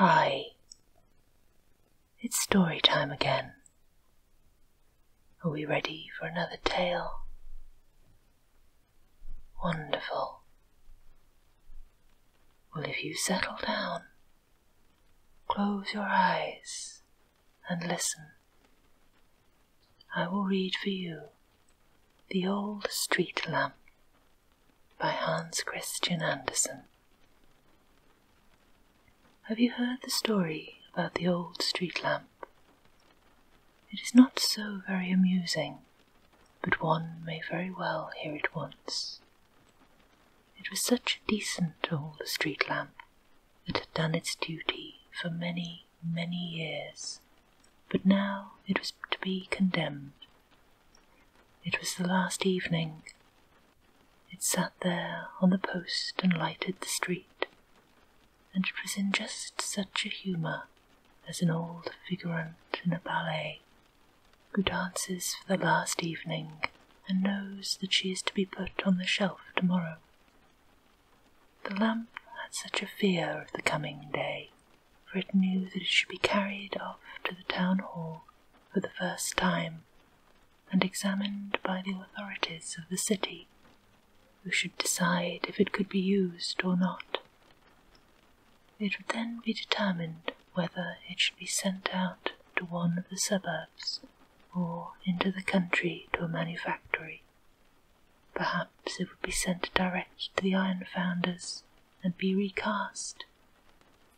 Hi, it's story time again. Are we ready for another tale? Wonderful. Well, if you settle down, close your eyes and listen. I will read for you The Old Street Lamp by Hans Christian Andersen. Have you heard the story about the old street lamp? It is not so very amusing, but one may very well hear it once. It was such a decent old street lamp that had done its duty for many, many years, but now it was to be condemned it was the last evening. It sat there on the post and lighted the street, and it was in just such a humour as an old figurant in a ballet who dances for the last evening and knows that she is to be put on the shelf tomorrow. The lamp had such a fear of the coming day, for it knew that it should be carried off to the town hall for the first time and examined by the authorities of the city, who should decide if it could be used or not. It would then be determined whether it should be sent out to one of the suburbs or into the country to a manufactory. Perhaps it would be sent direct to the iron founders and be recast.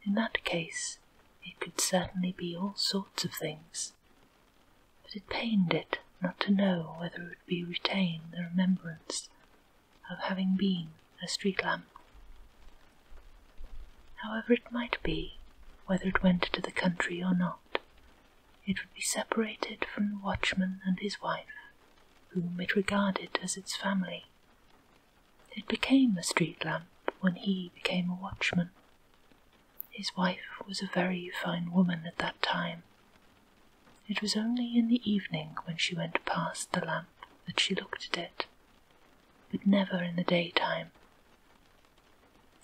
In that case, it could certainly be all sorts of things. But it pained it not to know whether it would be retained the remembrance of having been a street lamp. However it might be, whether it went to the country or not, it would be separated from the watchman and his wife, whom it regarded as its family, it became a street lamp when he became a watchman. His wife was a very fine woman at that time. It was only in the evening when she went past the lamp that she looked at it, but never in the daytime.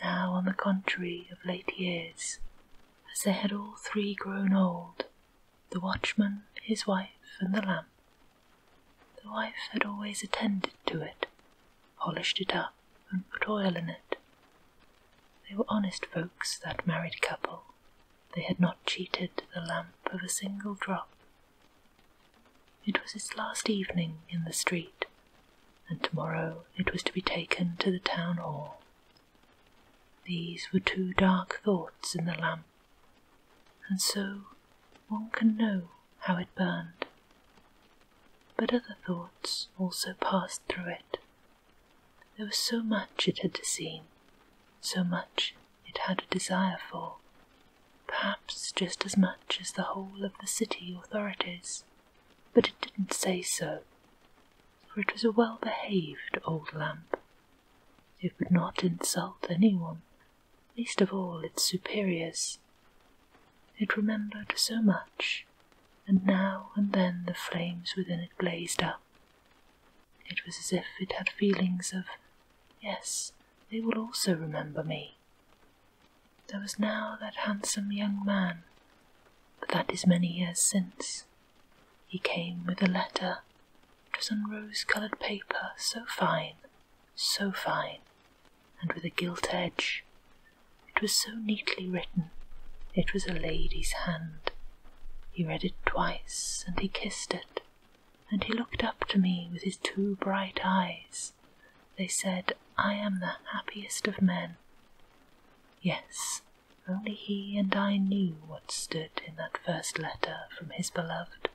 Now, on the contrary, of late years, as they had all three grown old, the watchman, his wife, and the lamp the wife had always attended to it, polished it up, and put oil in it. They were honest folks, that married couple. They had not cheated the lamp of a single drop. It was its last evening in the street, and tomorrow it was to be taken to the town hall. These were two dark thoughts in the lamp and so one can know how it burned. But other thoughts also passed through it. There was so much it had seen, so much it had a desire for, perhaps just as much as the whole of the city authorities, but it didn't say so, for it was a well behaved old lamp. It would not insult anyone least of all its superiors. It remembered so much, and now and then the flames within it blazed up. It was as if it had feelings of, yes, they will also remember me. There was now that handsome young man, but that is many years since. He came with a letter. It was on rose-coloured paper, so fine, so fine, and with a gilt edge. It was so neatly written. It was a lady's hand. He read it twice, and he kissed it, and he looked up to me with his two bright eyes. They said, I am the happiest of men. Yes, only he and I knew what stood in that first letter from his beloved.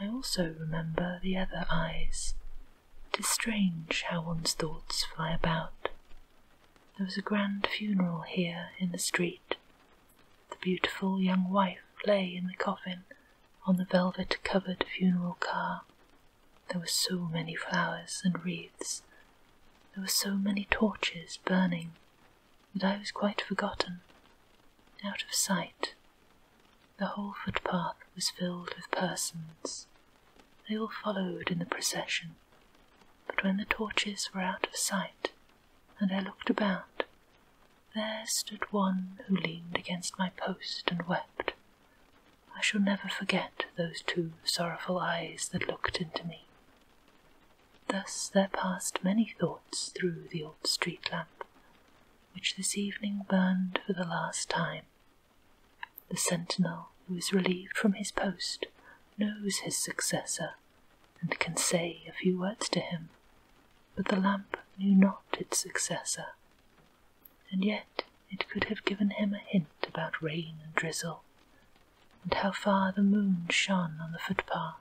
I also remember the other eyes. It is strange how one's thoughts fly about. There was a grand funeral here in the street. The beautiful young wife lay in the coffin on the velvet covered funeral car. There were so many flowers and wreaths. There were so many torches burning that I was quite forgotten, out of sight the whole footpath was filled with persons. They all followed in the procession, but when the torches were out of sight and I looked about, there stood one who leaned against my post and wept. I shall never forget those two sorrowful eyes that looked into me. Thus there passed many thoughts through the old street lamp, which this evening burned for the last time. The sentinel who is relieved from his post knows his successor and can say a few words to him, but the lamp knew not its successor, and yet it could have given him a hint about rain and drizzle, and how far the moon shone on the footpath,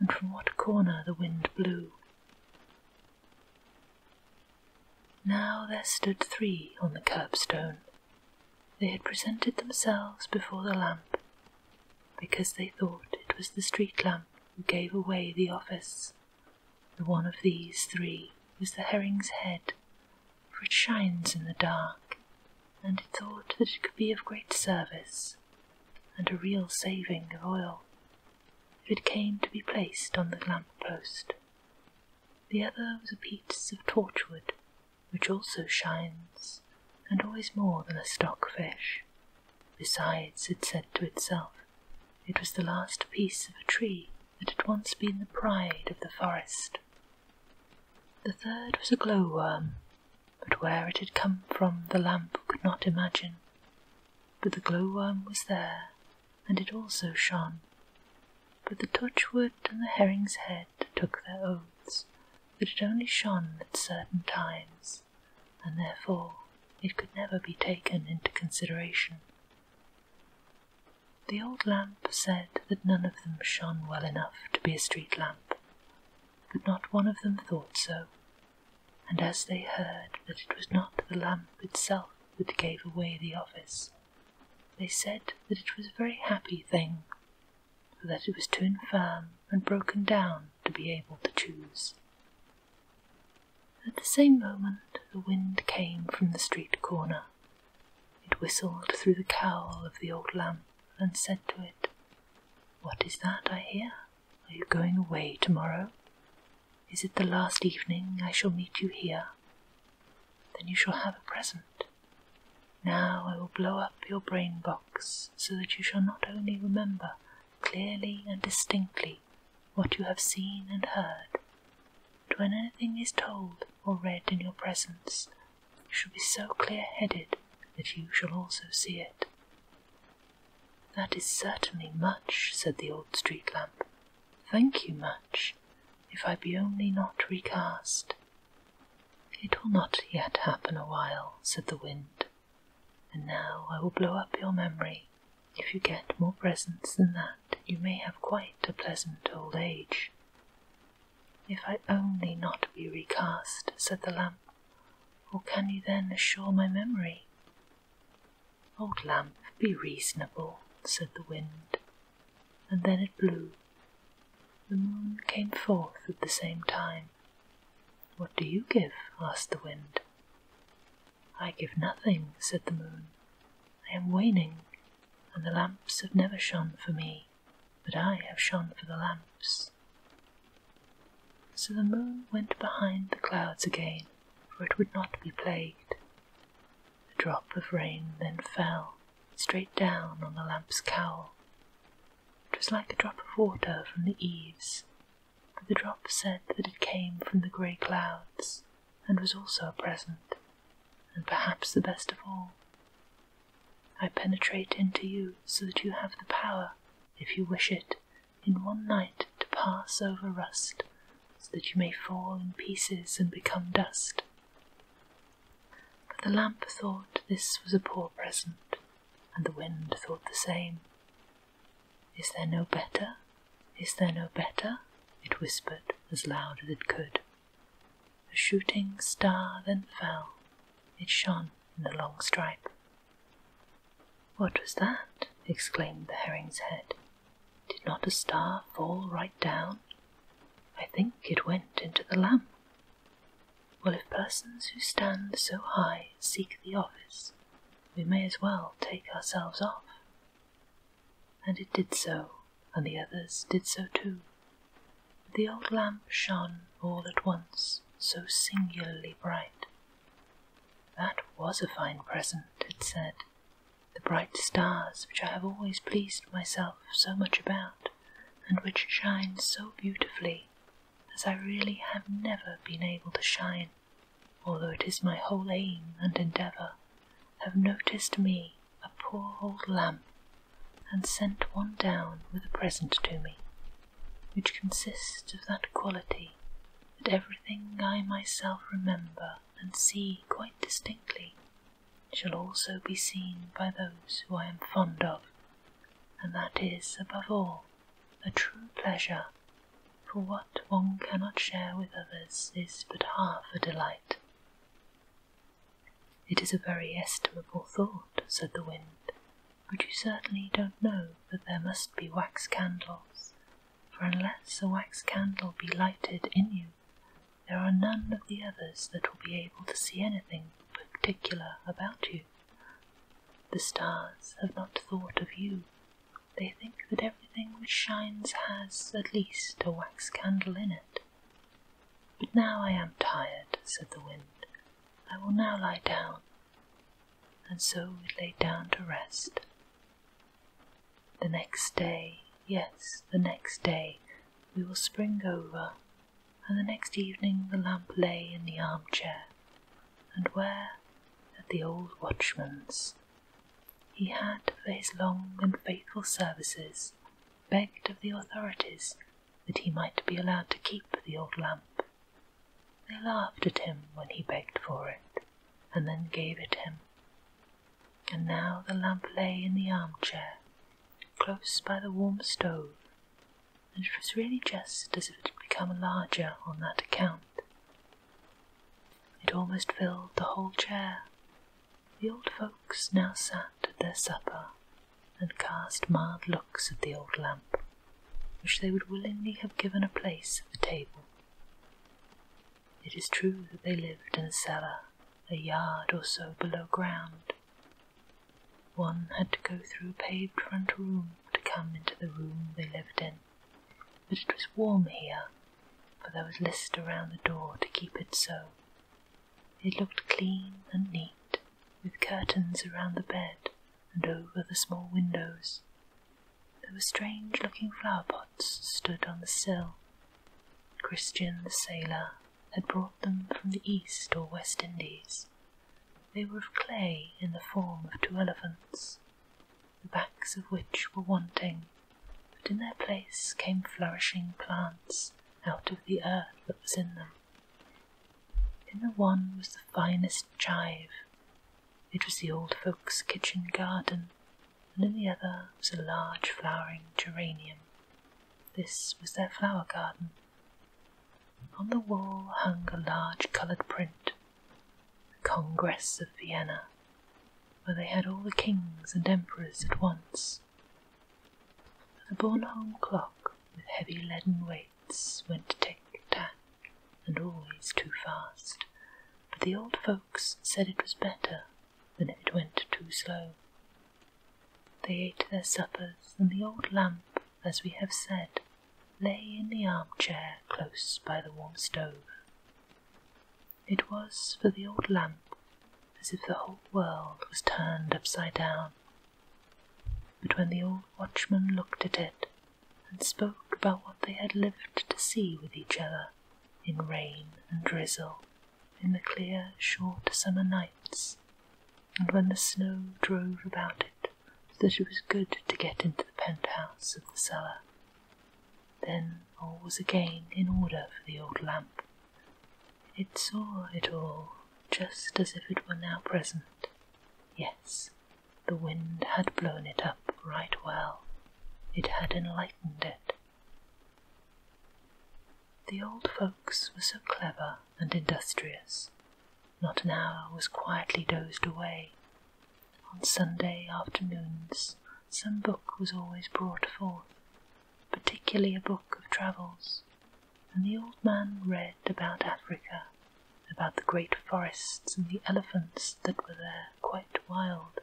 and from what corner the wind blew now there stood three on the curbstone. They had presented themselves before the lamp because they thought it was the street lamp who gave away the office. The one of these three was the herring's head, for it shines in the dark, and it thought that it could be of great service and a real saving of oil it came to be placed on the lamp post. The other was a piece of torchwood, which also shines, and always more than a stock fish. Besides, it said to itself, it was the last piece of a tree that had once been the pride of the forest. The third was a glowworm, but where it had come from the lamp could not imagine. But the glowworm was there, and it also shone. But the touchwood and the herring's head took their oaths that it only shone at certain times, and therefore it could never be taken into consideration. The old lamp said that none of them shone well enough to be a street lamp, but not one of them thought so, and as they heard that it was not the lamp itself that gave away the office, they said that it was a very happy thing, for that it was too infirm and broken down to be able to choose. At the same moment the wind came from the street corner. It whistled through the cowl of the old lamp and said to it, What is that I hear? Are you going away tomorrow? Is it the last evening I shall meet you here? Then you shall have a present. Now I will blow up your brain box so that you shall not only remember clearly and distinctly what you have seen and heard, but when anything is told or read in your presence, you shall be so clear headed that you shall also see it. That is certainly much, said the old street lamp. Thank you much, if I be only not recast. It will not yet happen a while, said the wind, and now I will blow up your memory. If you get more presents than that, you may have quite a pleasant old age. If I only not be recast, said the lamp, or can you then assure my memory? Old lamp, be reasonable, said the wind, and then it blew. The moon came forth at the same time. What do you give? asked the wind. I give nothing, said the moon. I am waning, and the lamps have never shone for me, but I have shone for the lamps. So the moon went behind the clouds again, for it would not be plagued. A drop of rain then fell straight down on the lamp's cowl. It was like a drop of water from the eaves, but the drop said that it came from the grey clouds, and was also a present, and perhaps the best of all. I penetrate into you so that you have the power, if you wish it, in one night to pass over rust, so that you may fall in pieces and become dust. But the lamp thought this was a poor present, and the wind thought the same. Is there no better? Is there no better? It whispered as loud as it could. A shooting star then fell. It shone in the long stripe. What was that? exclaimed the herring's head. Did not a star fall right down? I think it went into the lamp. Well, if persons who stand so high seek the office, we may as well take ourselves off. And it did so, and the others did so too. The old lamp shone all at once so singularly bright. That was a fine present, it said. The bright stars which I have always pleased myself so much about, and which shine so beautifully, as I really have never been able to shine, although it is my whole aim and endeavour, have noticed me, a poor old lamb, and sent one down with a present to me, which consists of that quality that everything I myself remember and see quite distinctly shall also be seen by those who I am fond of, and that is, above all, a true pleasure, for what one cannot share with others is but half a delight. It is a very estimable thought, said the wind, but you certainly don't know that there must be wax candles for unless a wax candle be lighted in you, there are none of the others that will be able to see anything particular about you. The stars have not thought of you. They think that everything which shines has at least a wax candle in it. But now I am tired, said the wind. I will now lie down. And so it lay down to rest, the next day, yes, the next day, we will spring over, and the next evening the lamp lay in the armchair, and where? At the old watchman's. He had, for his long and faithful services, begged of the authorities that he might be allowed to keep the old lamp they laughed at him when he begged for it, and then gave it him. And now the lamp lay in the armchair, close by the warm stove, and it was really just as if it had become larger on that account. It almost filled the whole chair. The old folks now sat at their supper, and cast mild looks at the old lamp, which they would willingly have given a place at the table. It is true that they lived in a cellar a yard or so below ground. One had to go through a paved front room to come into the room they lived in, but it was warm here, for there was list around the door to keep it so. It looked clean and neat, with curtains around the bed and over the small windows, there were strange looking flower pots stood on the sill. Christian the sailor had brought them from the East or West Indies. They were of clay in the form of two elephants, the backs of which were wanting, but in their place came flourishing plants out of the earth that was in them. In the one was the finest chive, it was the old folks' kitchen garden, and in the other was a large flowering geranium. This was their flower garden. On the wall hung a large coloured print, the Congress of Vienna, where they had all the kings and emperors at once. The Bornholm clock, with heavy leaden weights, went tick-tack, and always too fast, but the old folks said it was better than if it went too slow. They ate their suppers, and the old lamp, as we have said, lay in the armchair close by the warm stove. It was for the old lamp as if the whole world was turned upside down. But when the old watchman looked at it, and spoke about what they had lived to see with each other in rain and drizzle, in the clear, short summer nights, and when the snow drove about it so that it was good to get into the penthouse of the cellar. Then all was again in order for the old lamp. It saw it all just as if it were now present. Yes, the wind had blown it up right well, it had enlightened it. The old folks were so clever and industrious. Not an hour was quietly dozed away. On Sunday afternoons, some book was always brought forth, particularly a book of travels, and the old man read about Africa, about the great forests and the elephants that were there quite wild.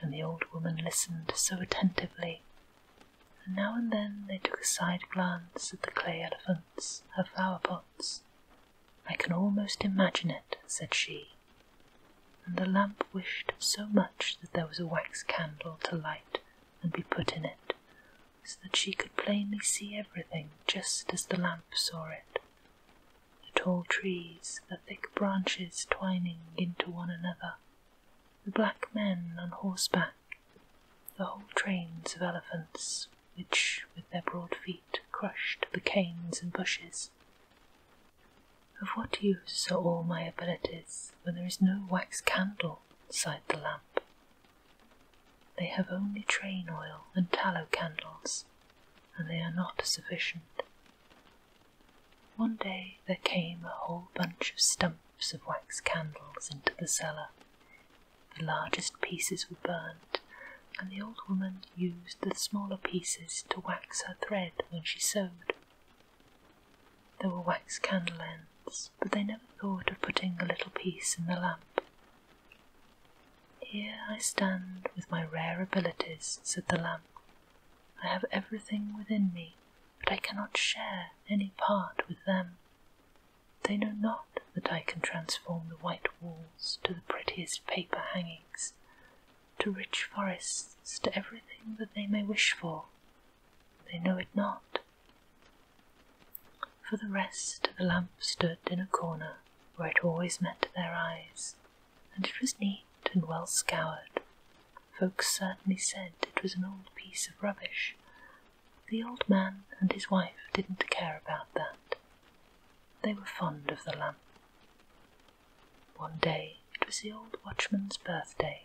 And the old woman listened so attentively, and now and then they took a side glance at the clay elephants, her flower pots. I can almost imagine it, said she, and the lamp wished so much that there was a wax candle to light and be put in it, so that she could plainly see everything just as the lamp saw it the tall trees, the thick branches twining into one another, the black men on horseback, the whole trains of elephants, which with their broad feet crushed the canes and bushes. Of what use are all my abilities when there is no wax candle inside the lamp? They have only train oil and tallow candles and they are not sufficient. One day there came a whole bunch of stumps of wax candles into the cellar. The largest pieces were burnt, and the old woman used the smaller pieces to wax her thread when she sewed. There were wax candle ends, but they never thought of putting a little piece in the lamp, here I stand with my rare abilities, said the lamp. I have everything within me, but I cannot share any part with them. They know not that I can transform the white walls to the prettiest paper hangings, to rich forests, to everything that they may wish for. They know it not. For the rest, the lamp stood in a corner where it always met their eyes, and it was neat and well scoured. Folks certainly said it was an old piece of rubbish. The old man and his wife didn't care about that. They were fond of the lamp. One day it was the old watchman's birthday.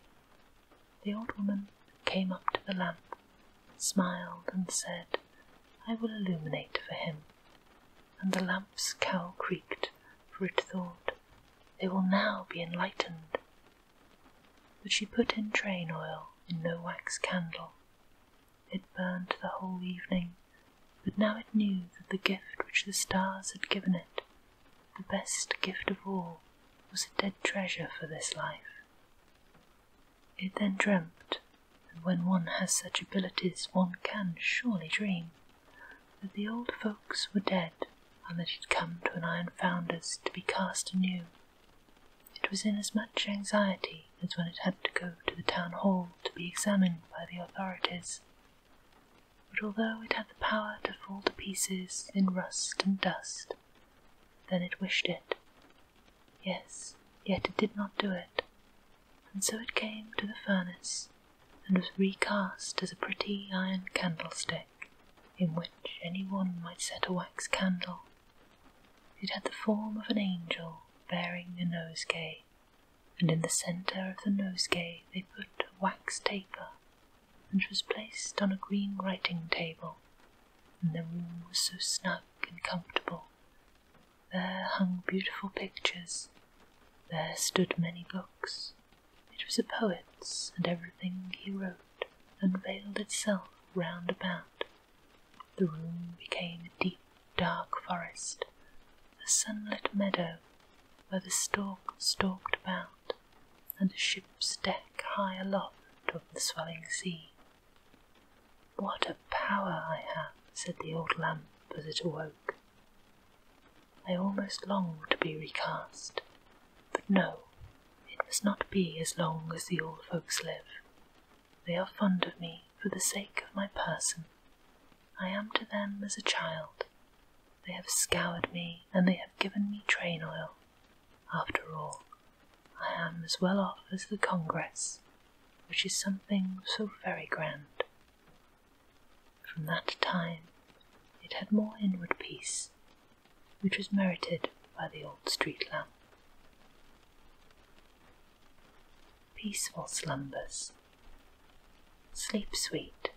The old woman came up to the lamp, smiled, and said, I will illuminate for him and the lamp's cowl creaked, for it thought, They will now be enlightened. But she put in train oil in no wax candle. It burned the whole evening, but now it knew that the gift which the stars had given it, the best gift of all, was a dead treasure for this life. It then dreamt and when one has such abilities, one can surely dream that the old folks were dead and that he'd come to an iron founder's to be cast anew. It was in as much anxiety as when it had to go to the town hall to be examined by the authorities. But although it had the power to fall to pieces in rust and dust, then it wished it. Yes, yet it did not do it, and so it came to the furnace and was recast as a pretty iron candlestick in which any one might set a wax candle. It had the form of an angel bearing a nosegay, and in the centre of the nosegay they put a wax taper, and was placed on a green writing table, and the room was so snug and comfortable there hung beautiful pictures, there stood many books. It was a poet's, and everything he wrote unveiled itself round about. The room became a deep, dark forest, a sunlit meadow where the stork stalked about, and a ship's deck high aloft of the swelling sea. What a power I have, said the old lamp as it awoke. I almost long to be recast, but no, it must not be as long as the old folks live. They are fond of me for the sake of my person. I am to them as a child. They have scoured me and they have given me train oil. After all, I am as well off as the Congress, which is something so very grand. From that time it had more inward peace, which was merited by the old street lamp. Peaceful slumbers, sleep sweet.